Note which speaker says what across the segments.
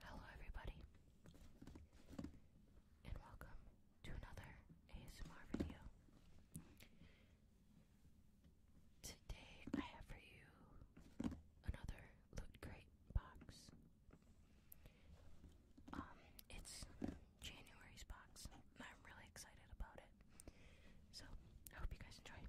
Speaker 1: Hello, everybody, and welcome to another ASMR video. Today, I have for you another loot crate box. Um, it's January's box, I'm really excited about it. So, I hope you guys enjoy.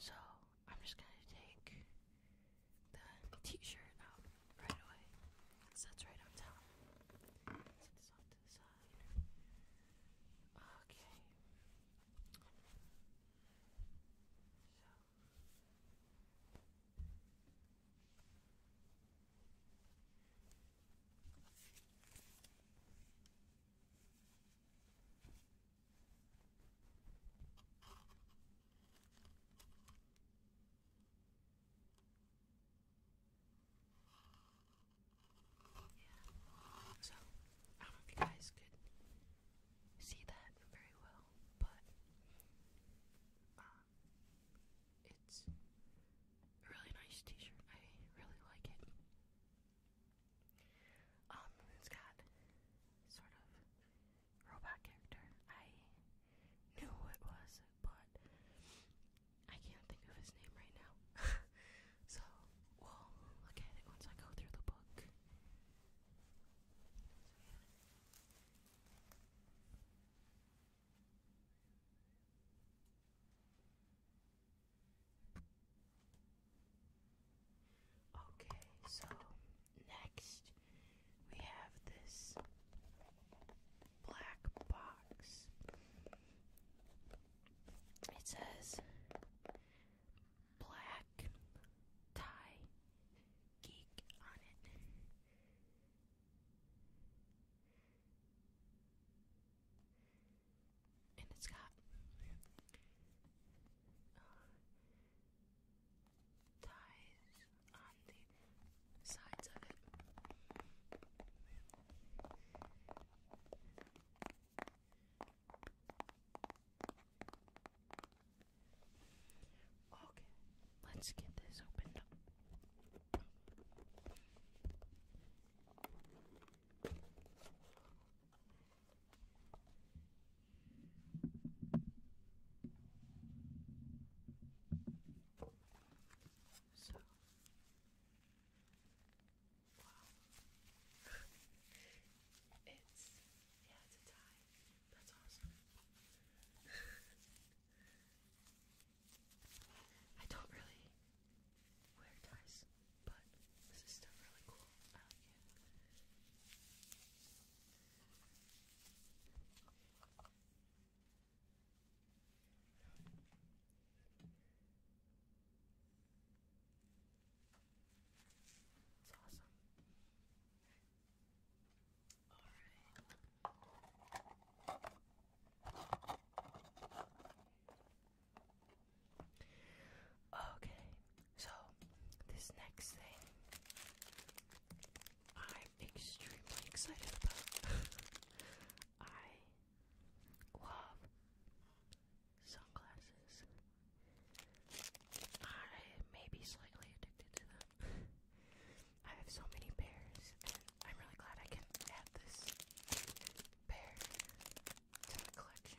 Speaker 1: So I'm just gonna take the t-shirt out right away. that's right on top. Set this off to the side. Okay. So yeah. So, I don't know if you guys could see that very well, but um, it's a really nice t shirt. I really like it. Um, it's got sort of robot character. I knew who it was, but I can't think of his name right now. so we'll look at it once I go through the book. Okay, so next we have this black box. It says Black Tie Geek on it. And it's got uh, ties on the sides of it. Okay, let's get this opened up. So, wow. it's, yeah, it's a tie. That's awesome. I don't really wear ties, but this is still really cool. I like it. It's awesome. All right. Okay, so this next thing I'm extremely excited about. I love sunglasses. I may be slightly addicted to them. I have so many pairs, I'm really glad I can add this pair to the collection.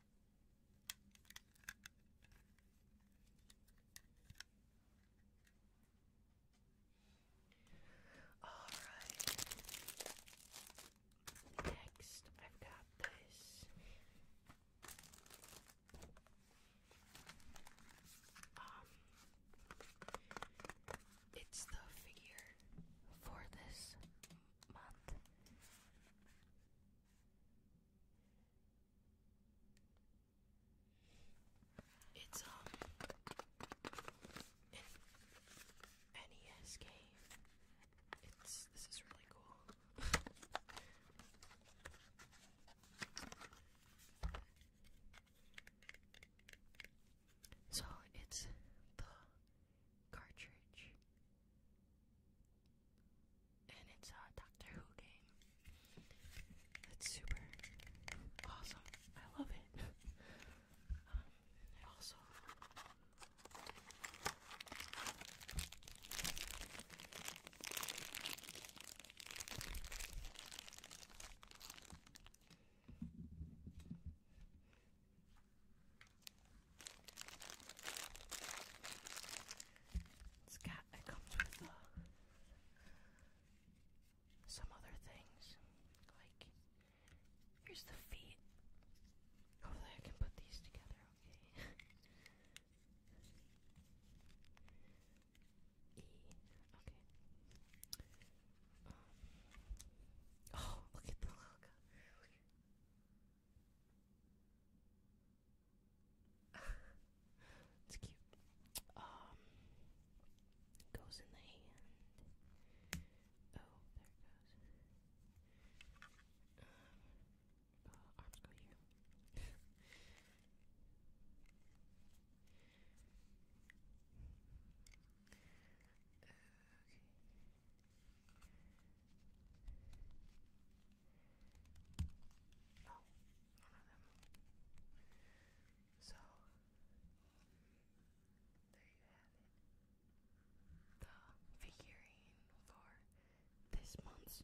Speaker 1: All right. Next, I've got this. Um, it's the figure for this month. It's um, a NES game. It's this is really cool. so it's the cartridge and it's a uh, Doctor Who game. That's super awesome. I love it. um, also it's got, it comes with uh, some other things. Like, here's the feet. Hopefully, I can put these together, okay? e. Okay. Um, oh, look at the logo. it's cute. Um, goes in the hand. Oh, there it goes. Um, uh, arms go here. okay. So, there you have it. The figurine for this month's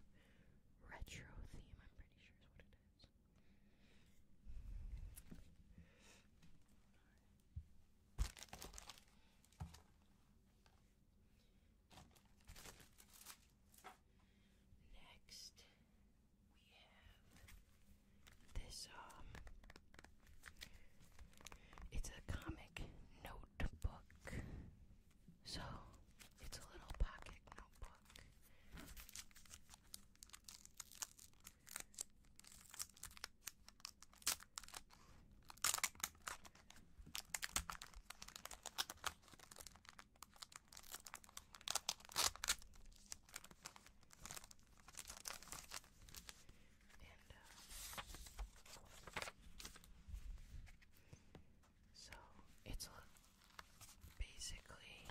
Speaker 1: retro theme, I'm pretty sure is what it is. Next, we have this, um, it's a comic notebook. So, it's a little pocket notebook. And uh, so it's basically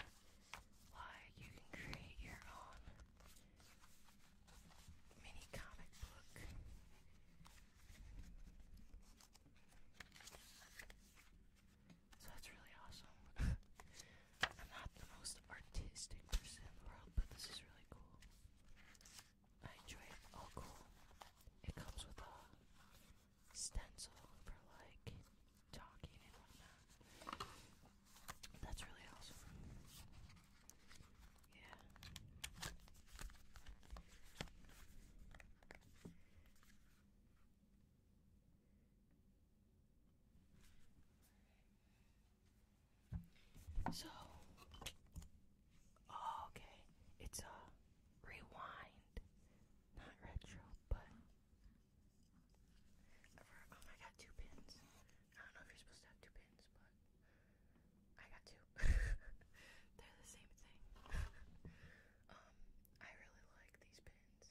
Speaker 1: like you can create your own mini comic book. So that's really awesome. I'm not the most artistic person in the world, but this is really cool. I enjoy it. All oh, cool. It comes with a stencil for like talking and whatnot. That's really awesome. Yeah. So, oh, okay, it's a rewind, not retro, but oh my god, two pins. I don't know if you're supposed to have two pins, but I got two. They're the same thing. um, I really like these pins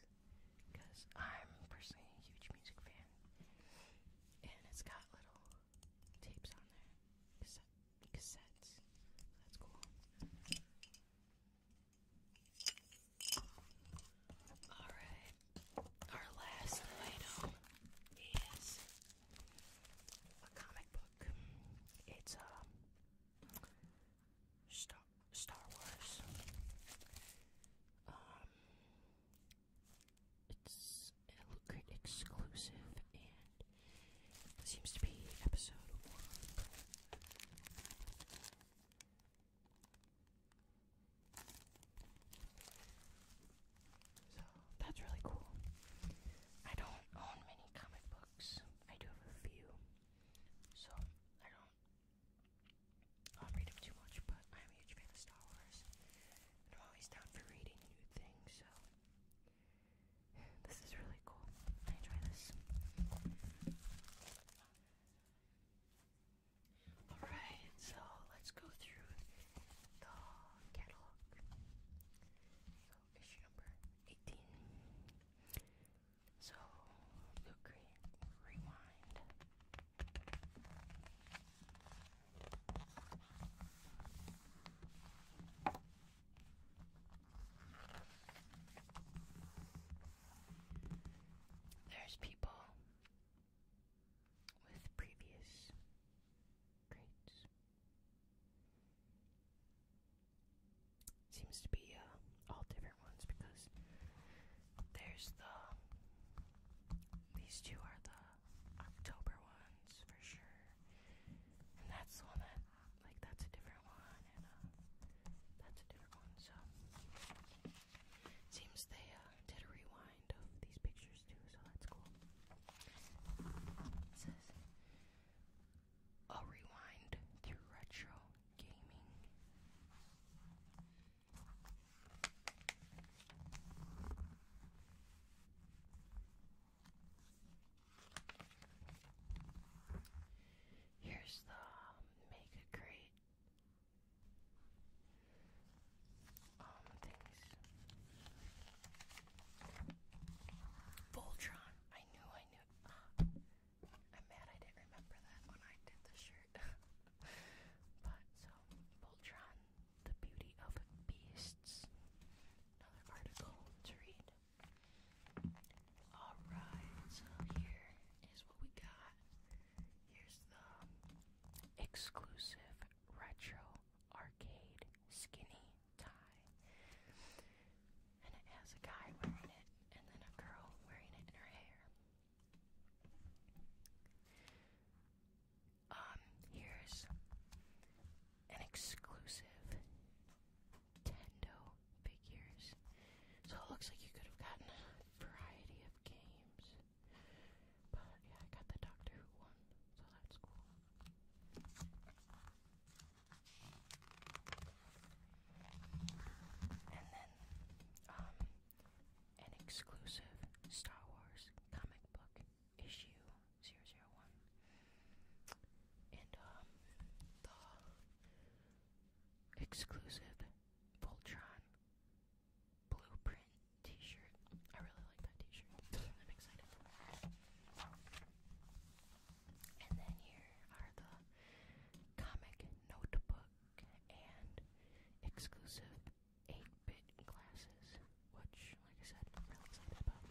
Speaker 1: because I'm personally a huge music fan, and it's got little tapes on there, cassettes. that's cool. All right our last item is a comic book. It's um Star Star Wars. Um, it's a Lucid exclusive, and seems to be episode one. So that's really cool. I don't own many comic books. I do have a few. So I don't read them too much, but I'm a huge fan of Star Wars. I'm always down for reading new things, so this is really cool. I enjoy this. Alright, so let's go through the catalog. So, issue number 18. So, Blue Green Rewind. There's people with previous grades. Seems to be uh, all different ones because there's the these two are the October ones for sure, and that's the one that like that's a different one, and uh, that's a different one. So seems they uh, did a rewind kind of these pictures too, so that's cool. It says a rewind through retro gaming. Here's the um, Mega Crate Oh, Voltron. I knew I knew. I'm mad I didn't remember that when I did the shirt. but so, Voltron, The Beauty of Beasts. Another article to read. Alright, here is what we got. Here's the exclusive retro arcade skinny tie. And it has a guy wearing it and then a girl wearing it in her hair. Um, here's an exclusive Nintendo figures. So it looks like you could have gotten a variety games. But yeah, I got the Doctor Who one, so that's cool. And then, um, an exclusive Star Wars comic book issue 001. And, um, the exclusive Voltron blueprint t-shirt. I really like that t-shirt. I'm excited. And then here are the comic notebook and exclusive 8-bit glasses, which, like I said, I'm really excited about.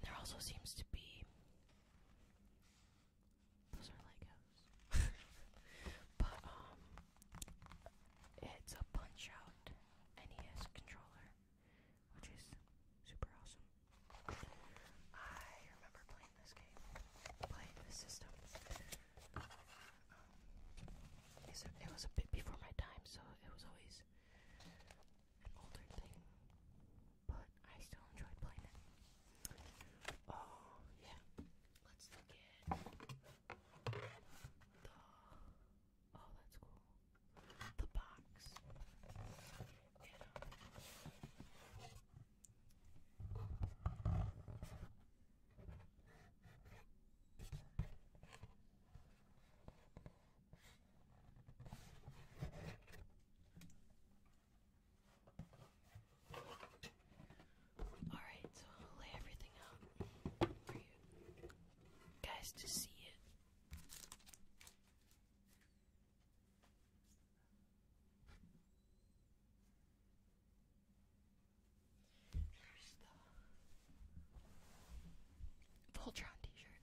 Speaker 1: There also seems to be those are Legos. but um it's a punch out NES controller, which is super awesome. I remember playing this game. Playing this system. Um, it was a bit before my time, so it was always an older thing but I still enjoyed playing it. Oh, yeah. Let's look the. Oh, that's cool. The box. Um, Alright, so I'm lay everything out for you guys to see it. Here's the Voltron t-shirt.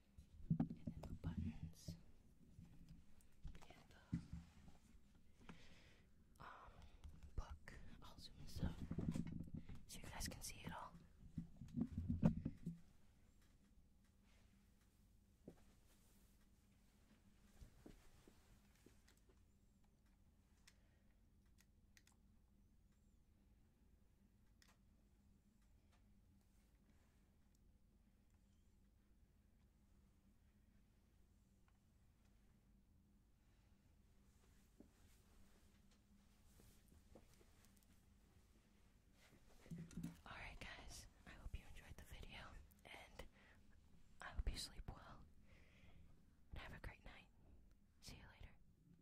Speaker 1: and the buttons and the uh, um book. I'll up so you guys can see it all. Alright, guys, I hope you enjoyed the video, and I hope you sleep well, and have a great night. See you later.